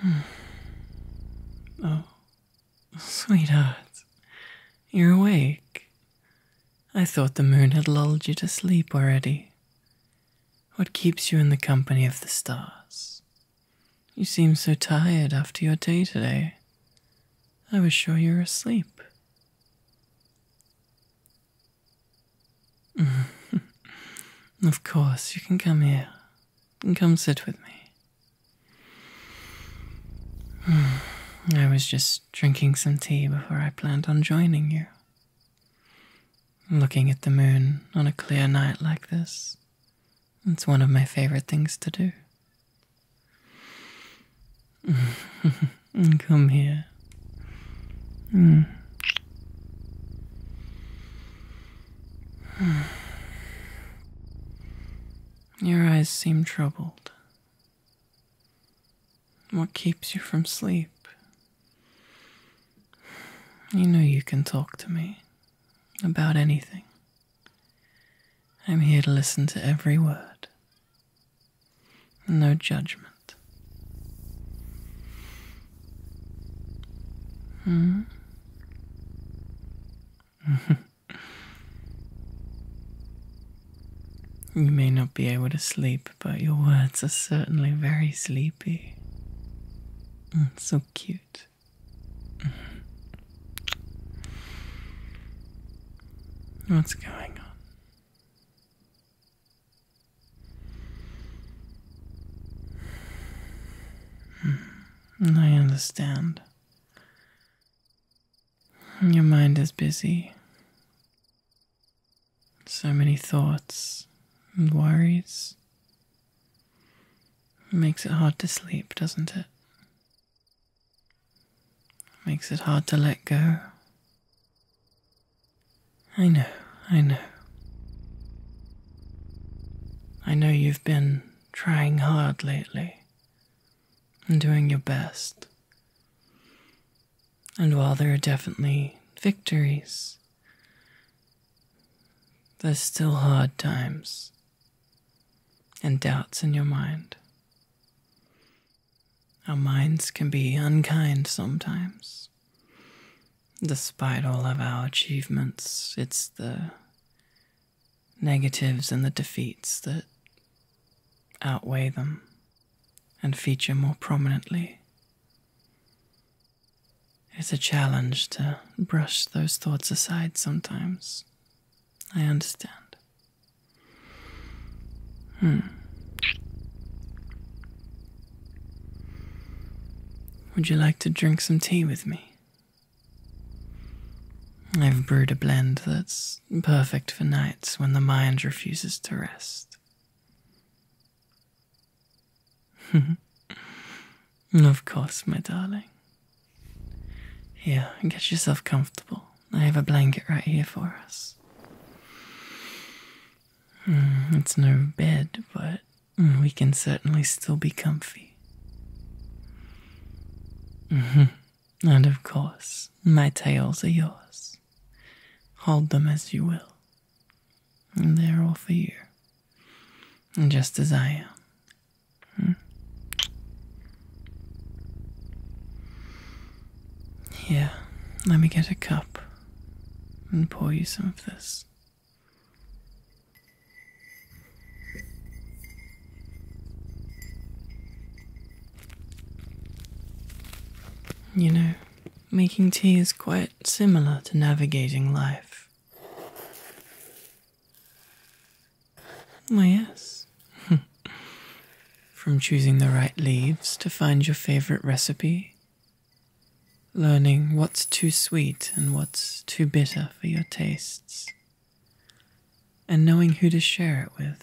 Hmm. oh, sweetheart, you're awake. I thought the moon had lulled you to sleep already. What keeps you in the company of the stars? You seem so tired after your day today. I was sure you were asleep. of course, you can come here and come sit with me. I was just drinking some tea before I planned on joining you. Looking at the moon on a clear night like this, it's one of my favorite things to do. Come here. Hmm. Your eyes seem troubled. What keeps you from sleep? You know you can talk to me about anything. I'm here to listen to every word. No judgment moment. Hmm? you may not be able to sleep, but your words are certainly very sleepy. Mm, so cute. Hmm. What's going on? Hmm. I understand. Your mind is busy. So many thoughts and worries. makes it hard to sleep, doesn't it? Makes it hard to let go. I know, I know. I know you've been trying hard lately and doing your best. And while there are definitely victories, there's still hard times and doubts in your mind. Our minds can be unkind sometimes, despite all of our achievements, it's the negatives and the defeats that outweigh them and feature more prominently. It's a challenge to brush those thoughts aside sometimes. I understand. Hmm. Would you like to drink some tea with me? I've brewed a blend that's perfect for nights when the mind refuses to rest. of course, my darling. Here, get yourself comfortable. I have a blanket right here for us. Mm, it's no bed, but we can certainly still be comfy. Mm-hmm. And of course, my tails are yours. Hold them as you will. And they're all for you. Just as I am. Here, hmm? let me get a cup and pour you some of this. You know, making tea is quite similar to navigating life. Oh, yes. From choosing the right leaves to find your favorite recipe learning what's too sweet and what's too bitter for your tastes, and knowing who to share it with.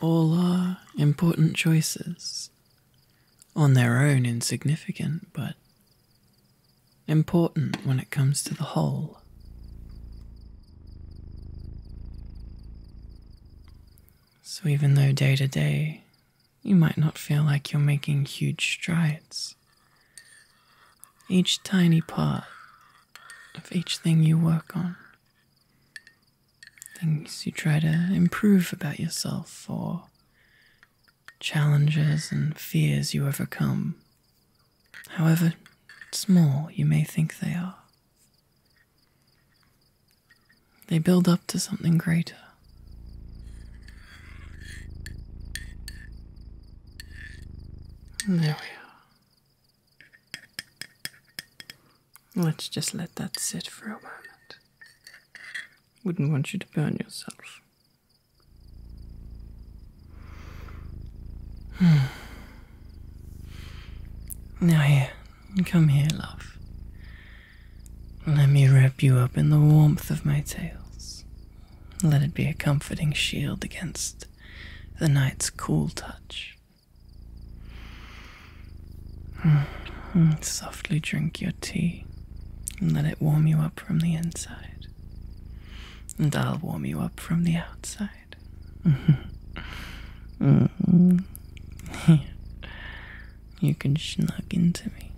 All are important choices, on their own insignificant, but important when it comes to the whole. So, even though day to day you might not feel like you're making huge strides, each tiny part of each thing you work on, things you try to improve about yourself, or challenges and fears you overcome, however small you may think they are. They build up to something greater. there we are. Let's just let that sit for a moment. Wouldn't want you to burn yourself. Now here, come here, love. Let me wrap you up in the warmth of my tails. Let it be a comforting shield against the night's cool touch. Softly drink your tea and let it warm you up from the inside and I'll warm you up from the outside. Mm-hmm. You can snuggle into me.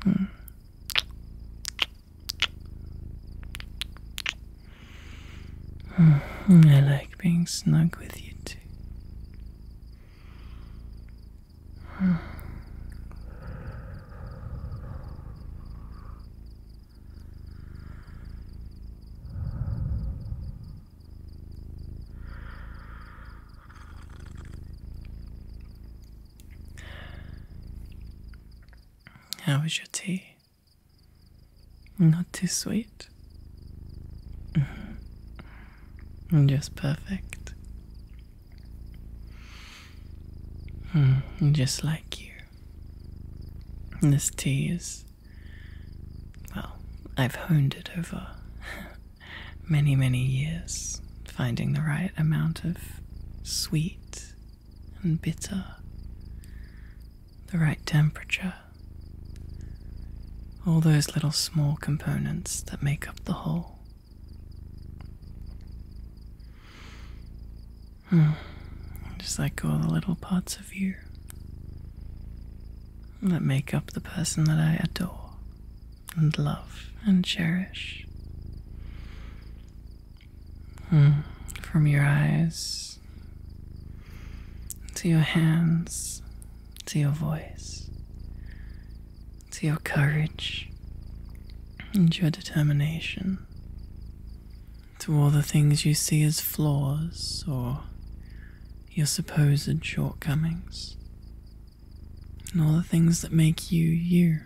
Mm-hmm. I like being snuggled with you too. How was your tea? Not too sweet? Mm-hmm. Just perfect. Mm-hmm. Just like you this tea is, well, I've honed it over many, many years, finding the right amount of sweet and bitter, the right temperature. All those little small components that make up the whole. Hmm. Just let go of the little parts of you that make up the person that I adore and love and cherish. Hmm. From your eyes to your hands to your voice to your courage and your determination to all the things you see as flaws or your supposed shortcomings, and all the things that make you you.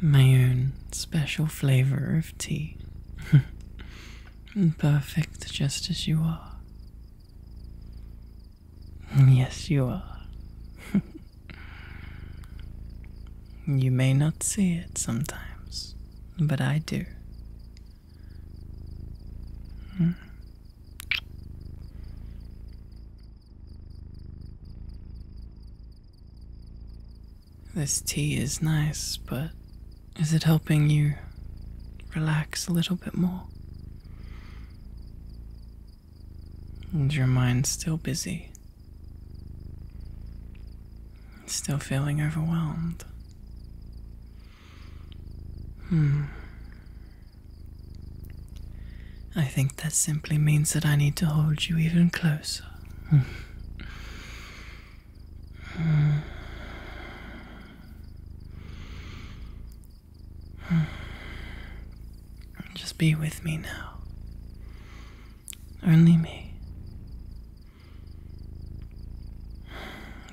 My own special flavor of tea. Perfect just as you are. Yes, you are. You may not see it sometimes, but I do. Hmm. This tea is nice, but is it helping you relax a little bit more? And your mind's still busy, still feeling overwhelmed. Hmm. I think that simply means that I need to hold you even closer. Just be with me now. Only me.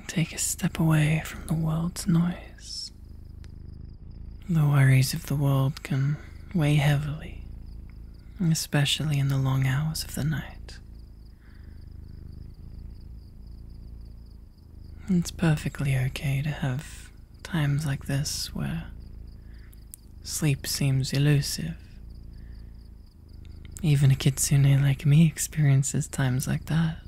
Take a step away from the world's noise. The worries of the world can weigh heavily, especially in the long hours of the night. It's perfectly okay to have times like this where sleep seems elusive. Even a kitsune like me experiences times like that.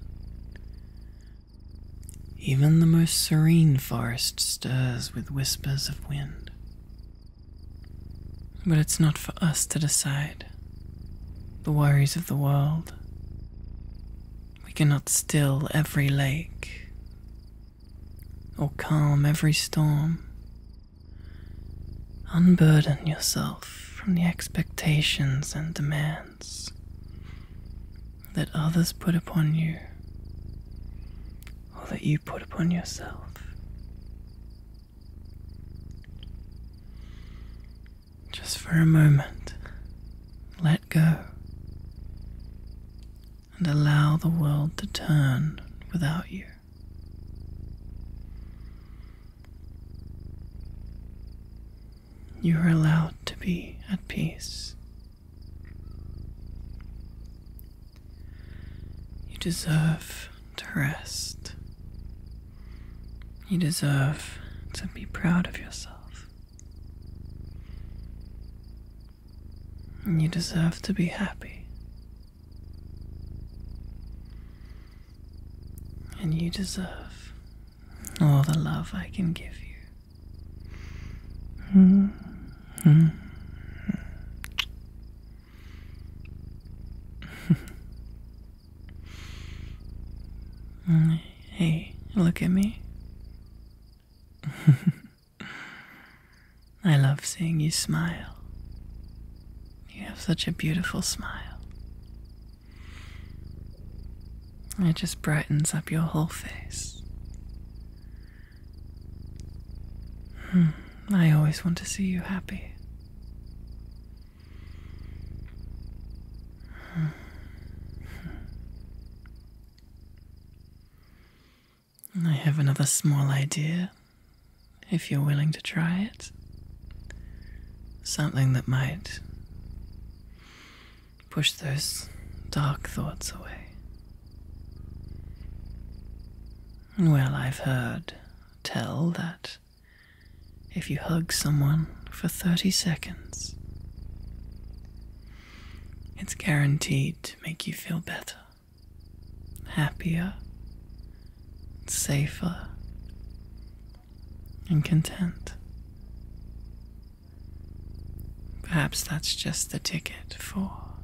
Even the most serene forest stirs with whispers of wind. But it's not for us to decide. The worries of the world. We cannot still every lake, or calm every storm. Unburden yourself from the expectations and demands that others put upon you or that you put upon yourself. Just for a moment, let go and allow the world to turn without you. You are allowed to be at peace. You deserve to rest. You deserve to be proud of yourself. And you deserve to be happy. And you deserve all the love I can give you. Mm -hmm. hey, look at me. I love seeing you smile. You have such a beautiful smile. It just brightens up your whole face. Hmm, I always want to see you happy. Hmm. I have another small idea, if you're willing to try it. Something that might push those dark thoughts away. Well, I've heard tell that if you hug someone for 30 seconds, it's guaranteed to make you feel better, happier, safer, and content. Perhaps that's just the ticket for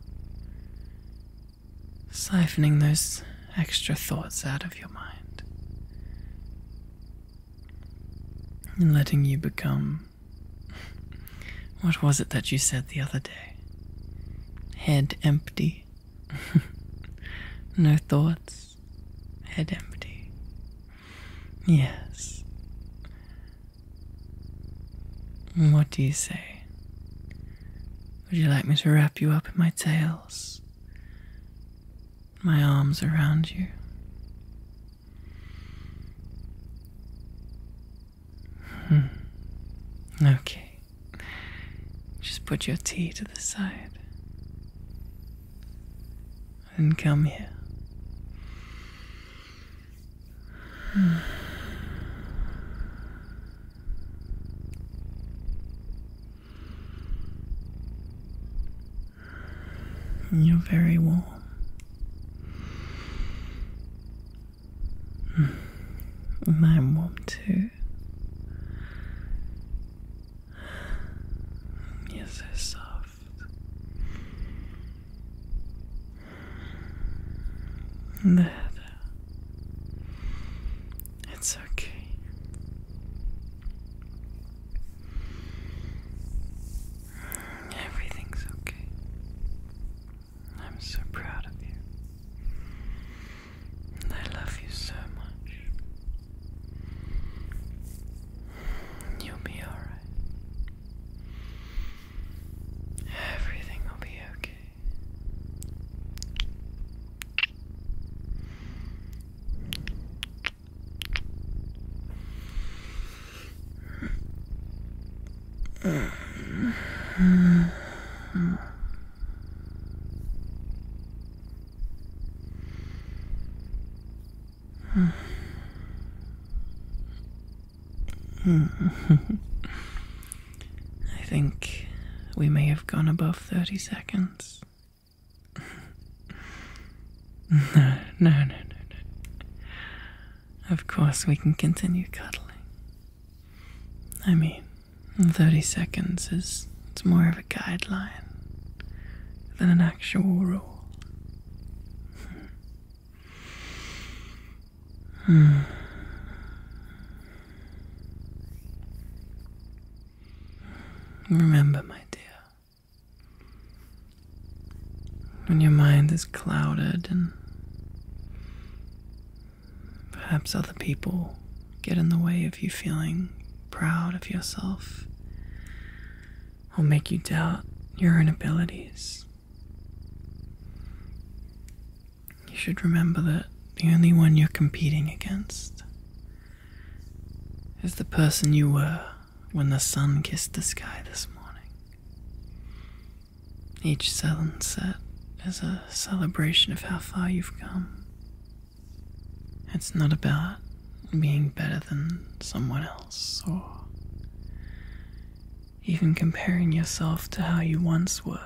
siphoning those extra thoughts out of your mind and letting you become what was it that you said the other day? Head empty. no thoughts. Head empty. Yes. What do you say? Would you like me to wrap you up in my tails? my arms around you. Hmm. Okay, just put your tea to the side and come here. You're very warm. And I'm warm too. You're so soft. There, It's okay. Everything's okay. I'm so proud of you. I love you so much. You'll be alright. Everything will be okay. I think we may have gone above 30 seconds. No, no, no, no, no. Of course, we can continue cuddling. I mean, 30 seconds is it's more of a guideline than an actual rule. Hmm. Remember, my dear, when your mind is clouded and perhaps other people get in the way of you feeling proud of yourself or make you doubt your abilities. You should remember that the only one you're competing against is the person you were when the sun kissed the sky this morning. Each sunset is a celebration of how far you've come. It's not about being better than someone else or even comparing yourself to how you once were.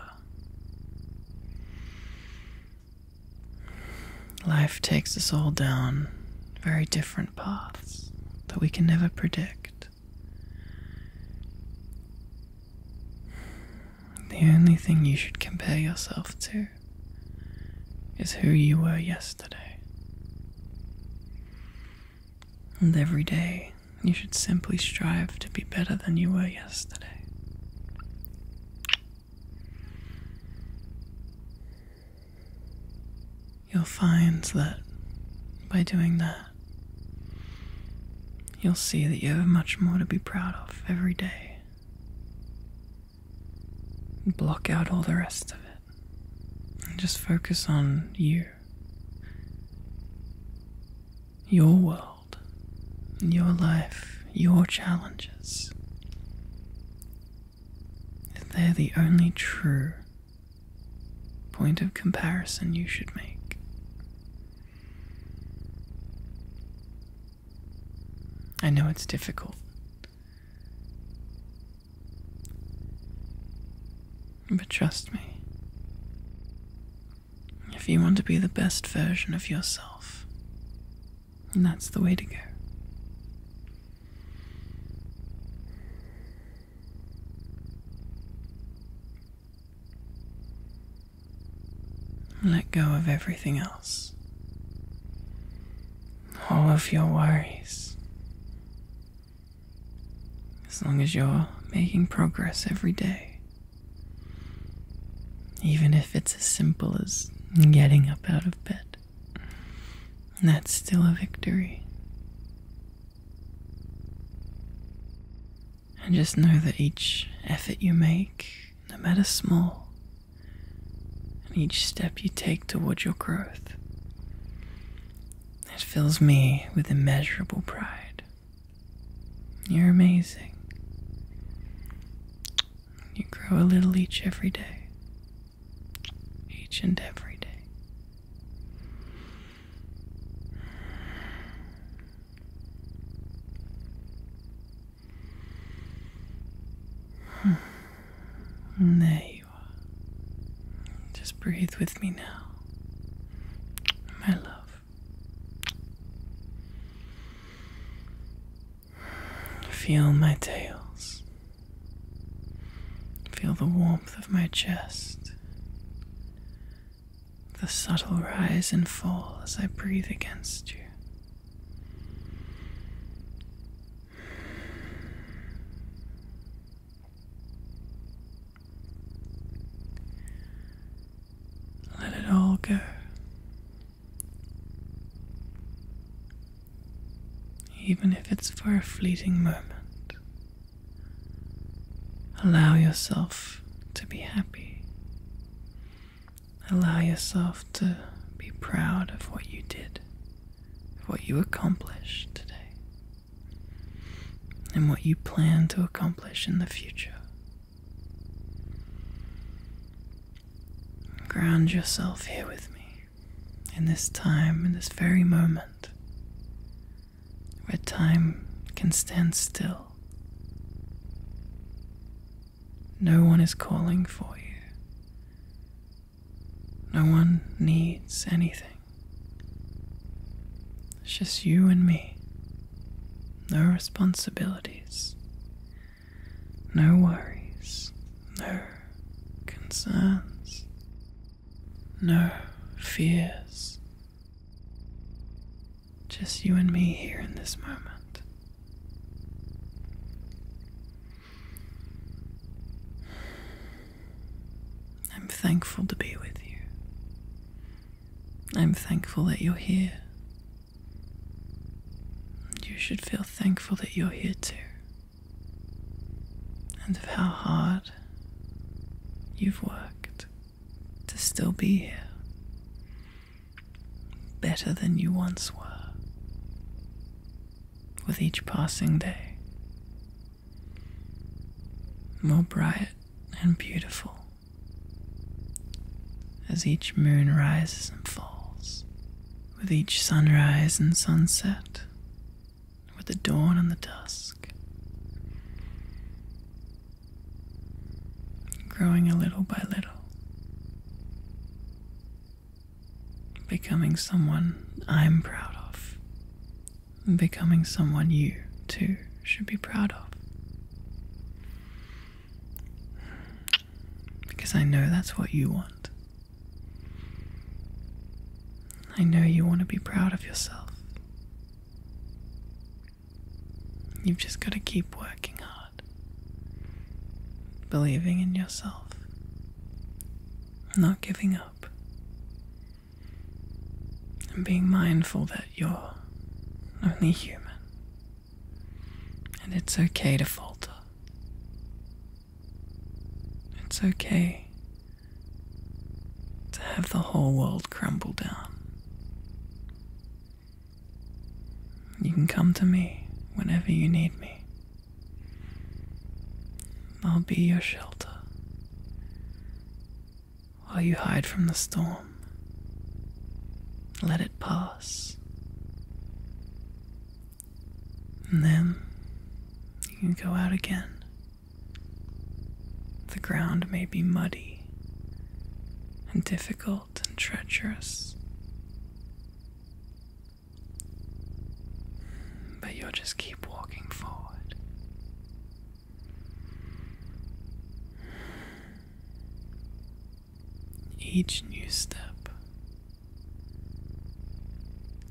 Life takes us all down very different paths that we can never predict. The only thing you should compare yourself to is who you were yesterday. And every day you should simply strive to be better than you were yesterday. You'll find that by doing that, you'll see that you have much more to be proud of every day. Block out all the rest of it and just focus on you, your world, your life, your challenges they're the only true point of comparison you should make. I know it's difficult. But trust me, if you want to be the best version of yourself, and that's the way to go. Let go of everything else. All of your worries. As long as you're making progress every day. Even if it's as simple as getting up out of of That's still a victory. And just know that each effort you make, no matter small, and each step you take toward your growth, it fills me with immeasurable pride. You're amazing. You grow a little each every day. Each and every day. Hmm. there you are. Just breathe with me now, my love. Feel my tails. Feel the warmth of my chest. The subtle rise and fall as I breathe against you. Let it all go. Even if it's for a fleeting moment, allow yourself to be happy. Allow yourself to be proud of what you did, of what you accomplished today, and what you plan to accomplish in the future. Ground yourself here with me, in this time, in this very moment, where time can stand still. No one is calling for you. No one needs anything. It's just you and me. No responsibilities no worries, no concerns, no fears. Just you and me here in this moment. I'm thankful to be with you. I'm thankful that you're here you should feel thankful that you're here too, and of how hard you've worked to still be here, better than you once were. With each passing day, more bright and beautiful as each moon rises and falls, with each sunrise and sunset, with the dawn and the dusk, growing a little by little. Becoming someone I'm proud of, becoming someone you too should be proud of. Because I know that's what you want. I know you want to be proud of yourself. You've just got to keep working hard, believing in yourself, not giving up, and being mindful that you're only human. And it's okay to falter. It's okay to have the whole world crumble down. You can come to me whenever you need me. I'll be your shelter while you hide from the storm. Let it pass. And then you can go out again. The ground may be muddy and difficult and treacherous. But you'll just keep walking forward each new step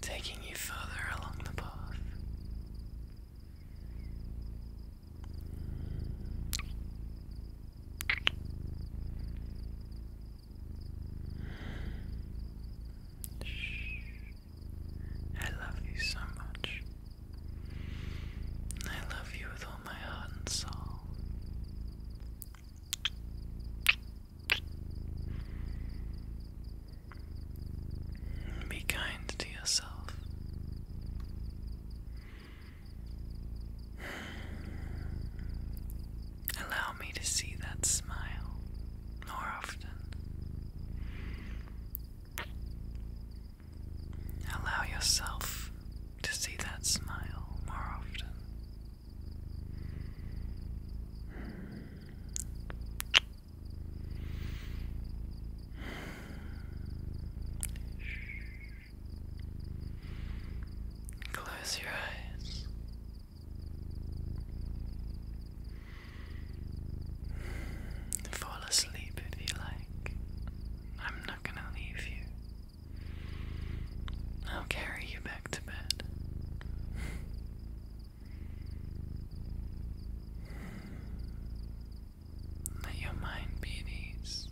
taking you further along the path. I love you so much. I love you with all my heart and soul. Be kind to yourself. Allow me to see that smile more often. Allow yourself to see that smile more often. Close your eyes. Fall asleep if you like. I'm not gonna leave you. I'll carry you back to bed. Let your mind be at ease.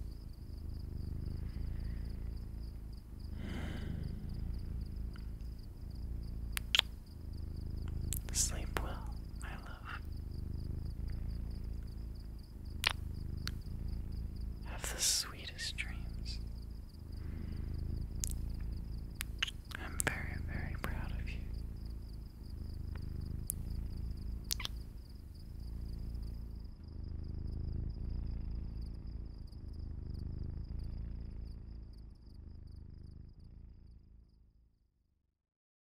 Sleep well, my love. Have the sweetest dreams. I'm very, very proud of you.